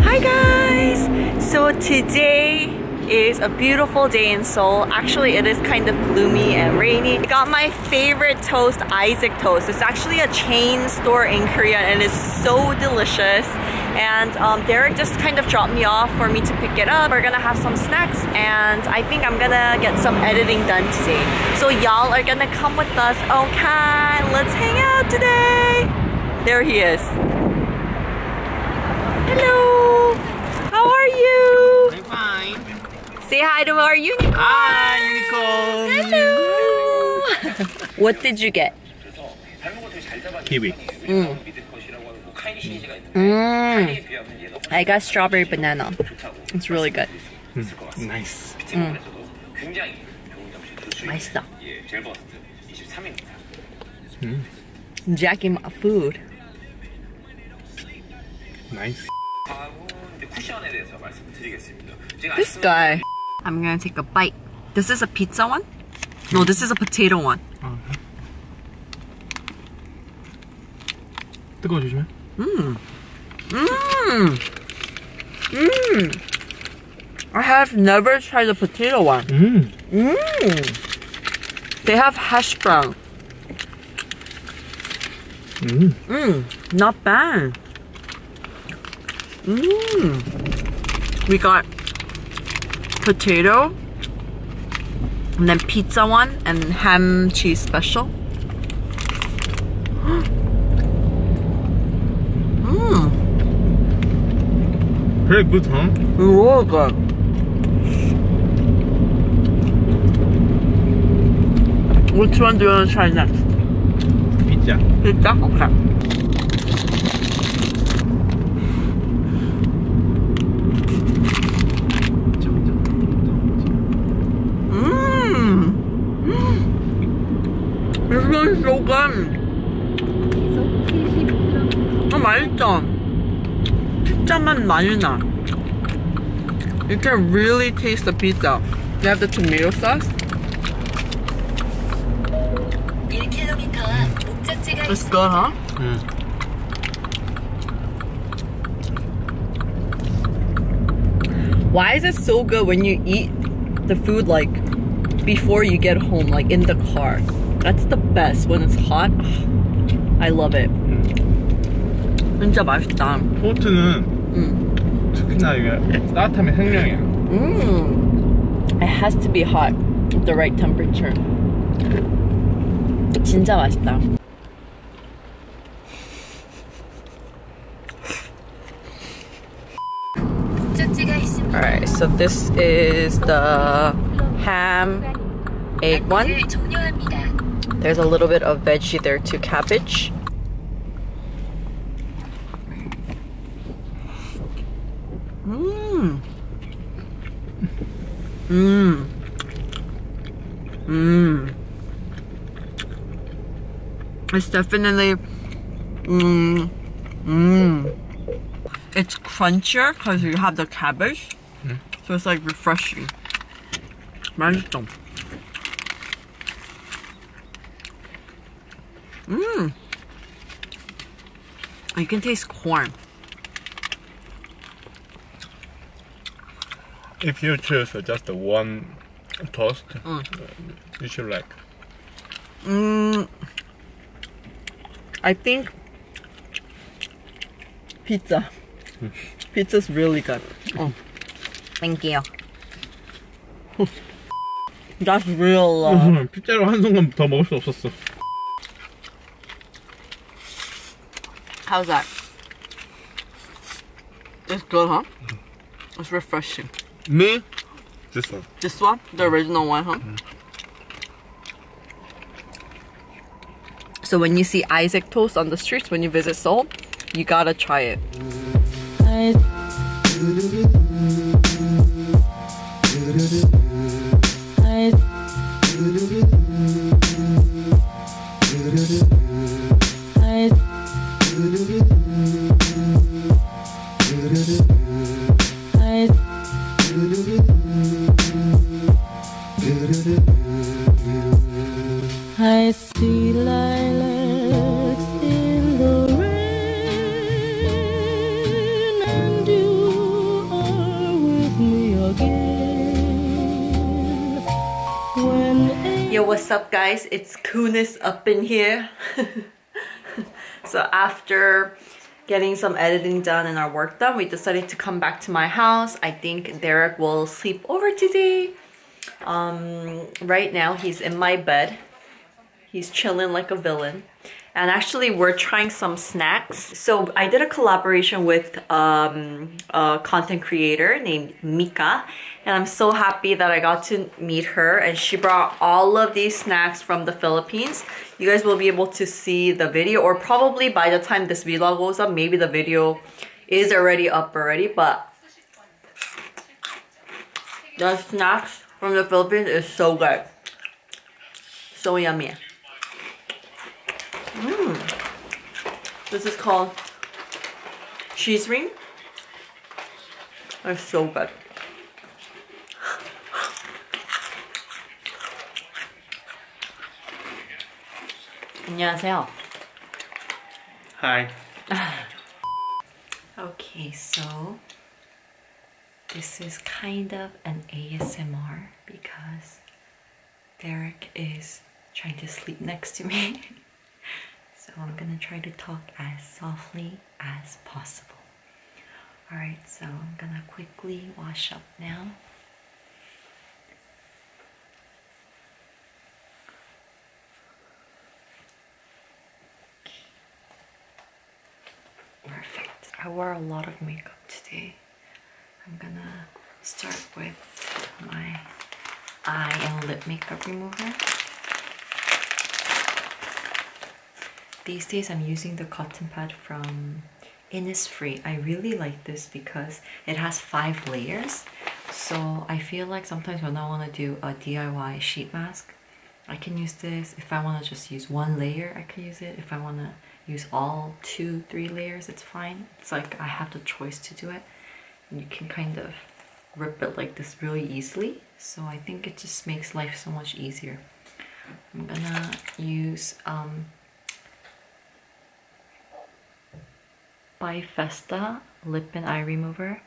Hi guys! So today it's a beautiful day in Seoul. Actually, it is kind of gloomy and rainy. I got my favorite toast, Isaac Toast. It's actually a chain store in Korea and it's so delicious. And um, Derek just kind of dropped me off for me to pick it up. We're gonna have some snacks and I think I'm gonna get some editing done today. So y'all are gonna come with us, okay? Let's hang out today! There he is. Hello. How are you? I'm fine. Say hi to our unicorn. Hi, unicorn. Hello. what did you get? Kiwi. Mm. Mm. I got strawberry banana. It's really good. Mm. Nice. Mm. Hmm. Jackie, Jacking food. Nice. This guy. I'm gonna take a bite. This is a pizza one? No, this is a potato one. Uh -huh. 뜨거워 조심해. Hmm. 음. Hmm. 음. 음. I have never tried the potato one. Mm. Mm. They have hash brown. Mm. Not bad. We got potato, and then pizza one, and ham cheese special. Mmm. Very good, huh? Really good. Which one do you want to try next? Pizza. Pizza? Okay. Mmm. This one is so good. 아 맛있죠? 피자 맛 많이 나 You can really taste the pizza You have the tomato sauce It's good, huh? Why is it so good when you eat the food like before you get home, like in the car. That's the best when it's hot. I love it. 진짜 맛있다. 포트는 음. 특히나 이게 따뜻하면 생명이야. 음. It has to be hot the right temperature. 진짜 맛있다. Alright, so this is the ham egg one. There's a little bit of veggie there too, cabbage. Mmm. Mmm. Mmm. It's definitely, mmm, mmm. It's crunchier because you have the cabbage. Hmm. So it's like refreshing. Mmm. You can taste corn. If you choose just one toast, mm. you should like Mm, I think pizza. Pizza's really good. Oh, thank you. That's real love. Mm-hmm. 피자로 한 순간 더 먹을 수 How's that? It's good, huh? It's refreshing. Me? This one. This one? The original one, huh? So when you see Isaac Toast on the streets, when you visit Seoul, you gotta try it. I see lilacs in with me again. Yo, what's up, guys? It's Kunis up in here. so after getting some editing done and our work done, we decided to come back to my house. I think Derek will sleep over today. Um, right now, he's in my bed. He's chilling like a villain. And actually, we're trying some snacks. So I did a collaboration with um, a content creator named Mika, and I'm so happy that I got to meet her and she brought all of these snacks from the Philippines. You guys will be able to see the video or probably by the time this vlog goes up, maybe the video is already up already, but the snacks from the Philippines is so good. So yummy. Mmm. This is called cheese ring I'm so good. 안녕하세요. Hi. okay, so this is kind of an ASMR because Derek is trying to sleep next to me. So I'm going to try to talk as softly as possible. Alright, so I'm going to quickly wash up now. Perfect. I wore a lot of makeup today. I'm gonna start with my eye and lip makeup remover. These days I'm using the cotton pad from Innisfree. I really like this because it has five layers. So I feel like sometimes when I want to do a DIY sheet mask, I can use this. If I want to just use one layer, I can use it. If I want to use all two, three layers, it's fine. It's like I have the choice to do it you can kind of rip it like this really easily. So I think it just makes life so much easier. I'm gonna use um, by Festa Lip and Eye Remover.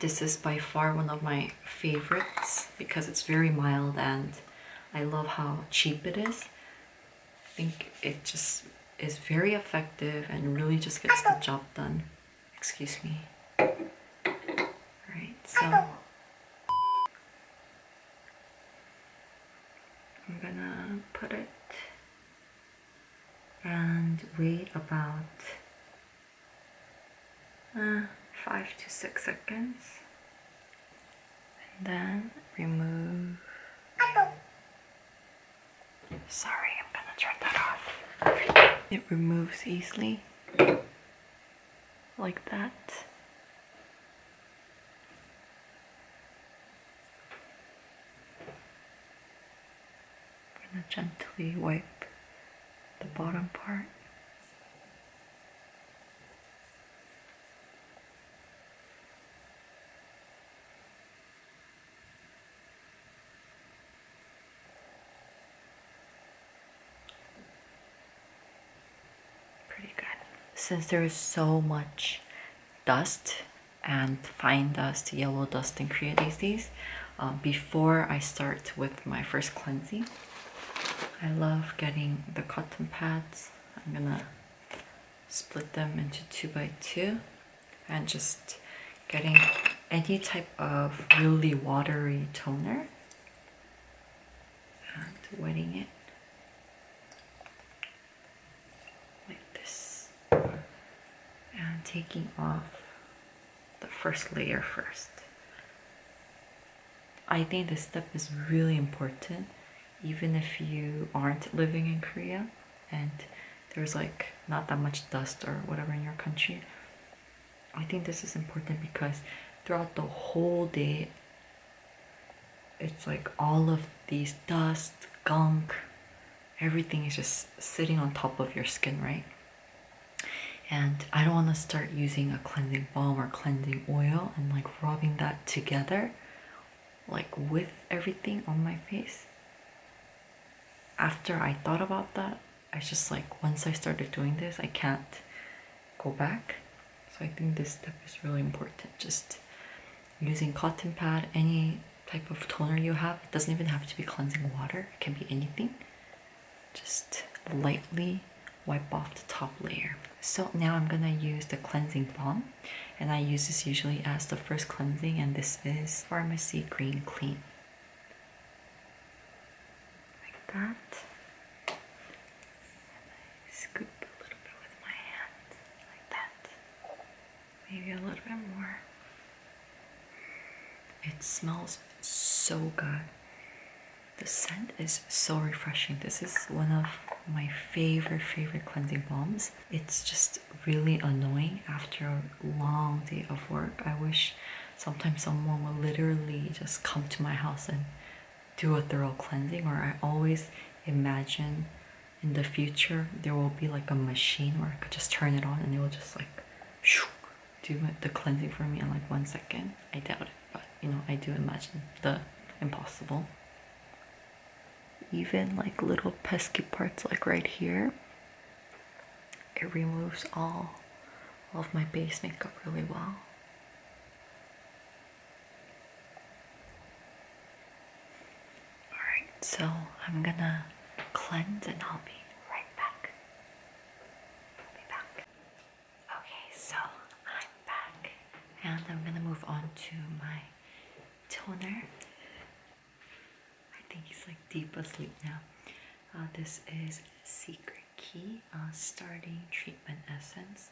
This is by far one of my favorites because it's very mild and I love how cheap it is. I think it just is very effective and really just gets the job done. Excuse me. Alright, so I'm gonna put it and wait about uh, 5 to 6 seconds and then remove Sorry, I'm gonna turn that off. It removes easily, like that. gently wipe the bottom part. Pretty good. Since there is so much dust and fine dust, yellow dust and creatines, um, before I start with my first cleansing, I love getting the cotton pads. I'm gonna split them into two by two and just getting any type of really watery toner and wetting it like this and taking off the first layer first. I think this step is really important even if you aren't living in Korea and there's like not that much dust or whatever in your country. I think this is important because throughout the whole day, it's like all of these dust, gunk, everything is just sitting on top of your skin, right? And I don't want to start using a cleansing balm or cleansing oil and like rubbing that together like with everything on my face after i thought about that i just like once i started doing this i can't go back so i think this step is really important just using cotton pad any type of toner you have it doesn't even have to be cleansing water it can be anything just lightly wipe off the top layer so now i'm gonna use the cleansing balm and I use this usually as the first cleansing and this is Pharmacy Green Clean. Like that. And I scoop a little bit with my hand, like that. Maybe a little bit more. It smells so good. The scent is so refreshing. This is one of my favorite, favorite cleansing balms it's just really annoying after a long day of work. I wish sometimes someone would literally just come to my house and do a thorough cleansing or I always imagine in the future there will be like a machine where I could just turn it on and it will just like do the cleansing for me in like one second. I doubt it, but you know, I do imagine the impossible even like little pesky parts like right here it removes all of my base makeup really well alright so I'm gonna cleanse and I'll be right back okay so I'm back and I'm gonna move on to my toner. I think he's like deep asleep now. Uh, this is Secret Key uh, Starting Treatment Essence.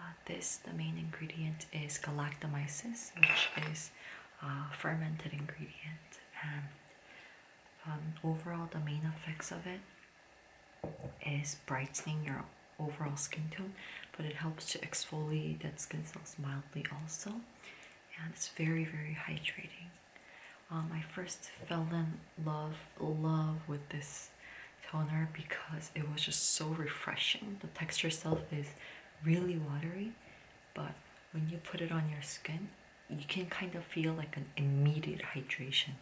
Uh, this, the main ingredient is galactomyces, which is fermented ingredient. And um, overall, the main effects of it is brightening your overall skin tone, but it helps to exfoliate dead skin cells mildly also, and it's very very hydrating. Um, I first fell in love love with this toner because it was just so refreshing. The texture itself is really watery, but when you put it on your skin, you can kind of feel like an immediate hydration.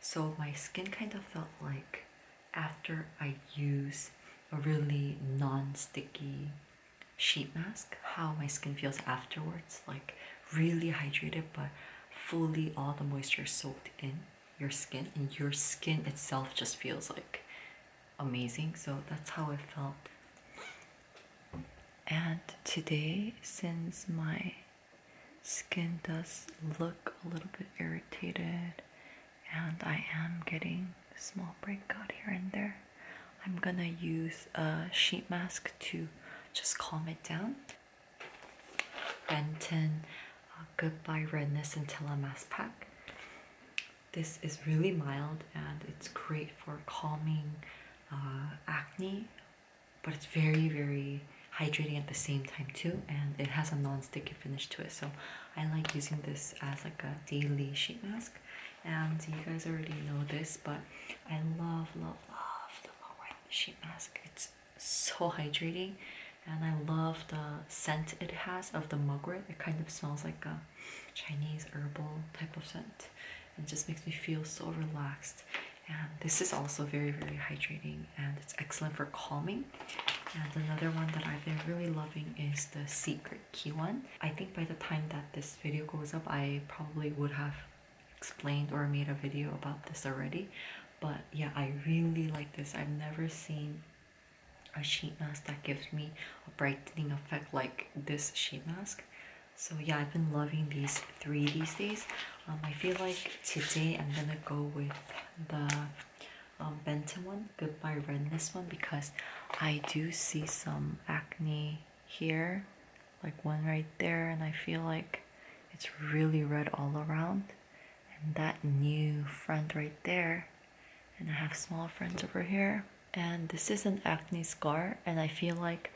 So my skin kind of felt like after I use a really non-sticky sheet mask how my skin feels afterwards like really hydrated but fully all the moisture soaked in your skin and your skin itself just feels like amazing so that's how it felt and today since my skin does look a little bit irritated and I am getting a small breakout here and there. I'm gonna use a sheet mask to just calm it down. Benton uh, Goodbye Redness and Mask Pack. This is really mild and it's great for calming uh, acne, but it's very, very hydrating at the same time too and it has a non-sticky finish to it so I like using this as like a daily sheet mask and you guys already know this but I love love love the L'Oreal sheet mask it's so hydrating and I love the scent it has of the mugwort it kind of smells like a Chinese herbal type of scent and just makes me feel so relaxed and this is also very very hydrating and it's excellent for calming and another one that I've been really loving is the Secret Key one. I think by the time that this video goes up, I probably would have explained or made a video about this already. But yeah, I really like this. I've never seen a sheet mask that gives me a brightening effect like this sheet mask. So yeah, I've been loving these three these days. Um, I feel like today I'm gonna go with the um, Benton one, goodbye Ren this one because I do see some acne here, like one right there, and I feel like it's really red all around. And that new friend right there, and I have small friends over here. And this is an acne scar, and I feel like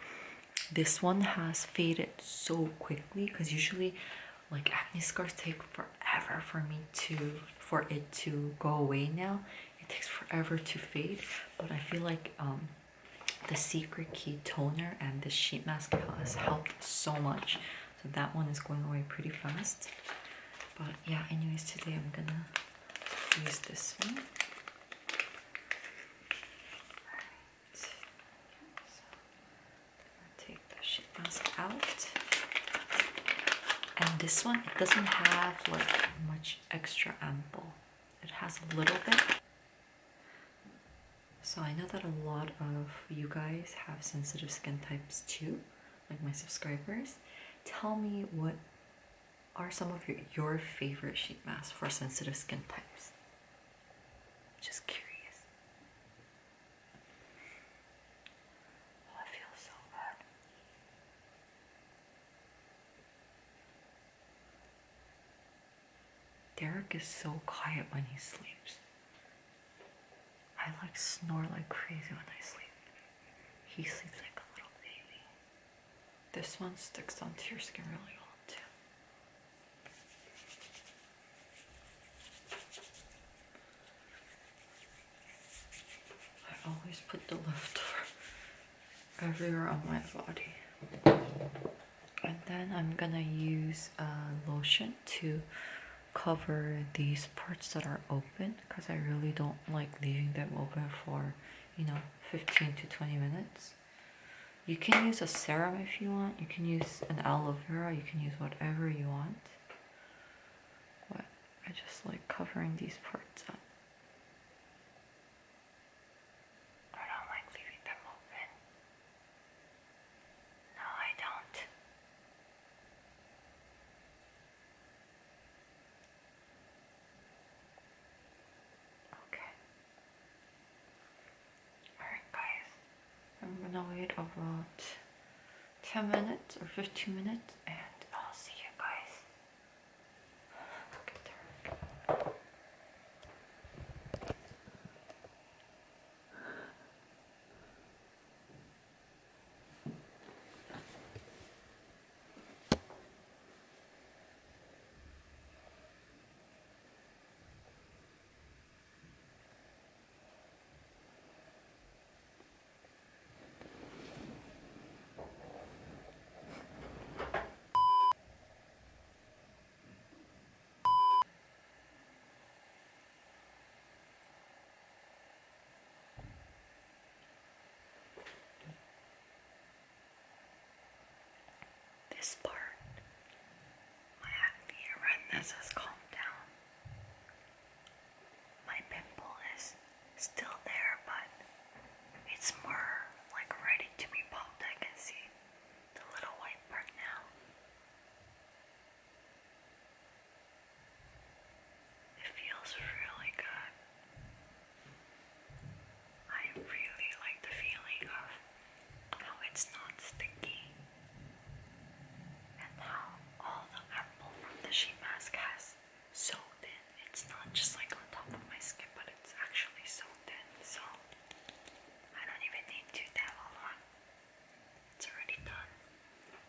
this one has faded so quickly because usually like acne scars take forever for me to for it to go away now it takes forever to fade but i feel like um the secret key toner and the sheet mask has helped so much so that one is going away pretty fast but yeah anyways today i'm gonna use this one Take the sheet mask out. And this one, it doesn't have like much extra ample. It has a little bit. So I know that a lot of you guys have sensitive skin types too, like my subscribers. Tell me what are some of your, your favorite sheet masks for sensitive skin types? Just curious. Derek is so quiet when he sleeps. I like snore like crazy when I sleep. He sleeps like a little baby. This one sticks onto your skin really well too. I always put the leftover everywhere on my body. And then I'm gonna use a lotion to cover these parts that are open because I really don't like leaving them open for you know 15 to 20 minutes. You can use a serum if you want, you can use an aloe vera, you can use whatever you want what I just like covering these parts up. I don't like leaving them open. No, I don't. Okay. Alright guys, I'm gonna wait about 10 minutes or 15 minutes and I'll see you guys. Look at her. This part my acne redness has calmed down. My pimple is still there, but it's more like ready to be popped. I can see the little white part now. It feels really good. I really like the feeling how it's not sticky, and how all the apple from the sheet mask has so thin. It's not just like on top of my skin, but it's actually so thin. So I don't even need to dabble on. It's already done.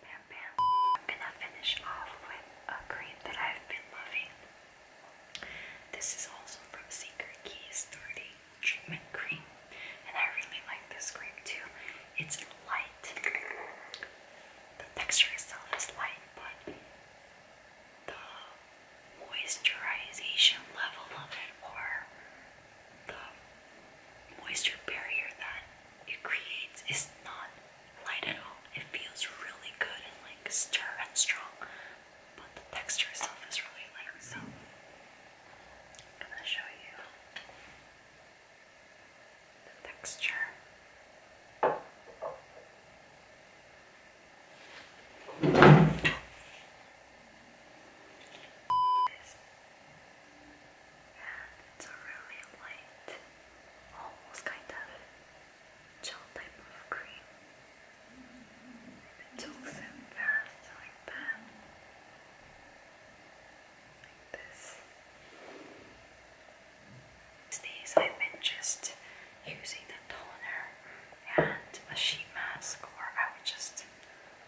Bam bam. I'm gonna finish off with a cream that I've been loving. This is also from Secret Keys 30 treatment cream, and I really like this cream too. It's light. The texture itself is light, but the moisturization level of it, or the moisture barrier that it creates, is not light at all. It feels really good and like stir and strong, but the texture itself is really light. So I'm going to show you the texture. And it's a really light, almost kind of gel type of cream. It soaks in fast like that. These days I've been just using the toner and a sheet mask, or I would just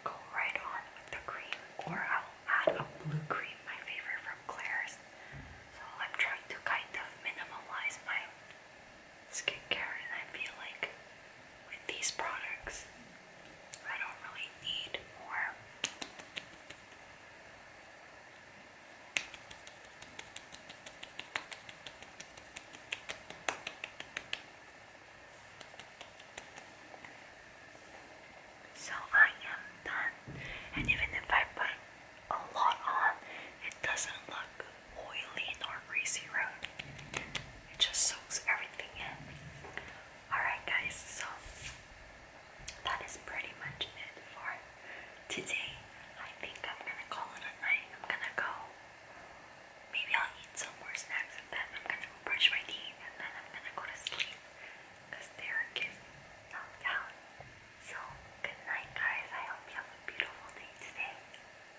go right on with the cream, or I'll add a blue cream, my favorite from Claire's. So I'm trying to kind of minimalize my skincare, I feel like with these products, I don't really need more. So I am done, and even if I put a lot on, it doesn't look oily nor greasy road. It just soaks everything in. Alright, guys, so that is pretty much it for today. I think I'm gonna call it a night. I'm gonna go. Maybe I'll eat some more snacks and then I'm gonna brush my teeth and then I'm gonna go to sleep because Derek is knocked out. So, good night, guys. I hope you have a beautiful day today.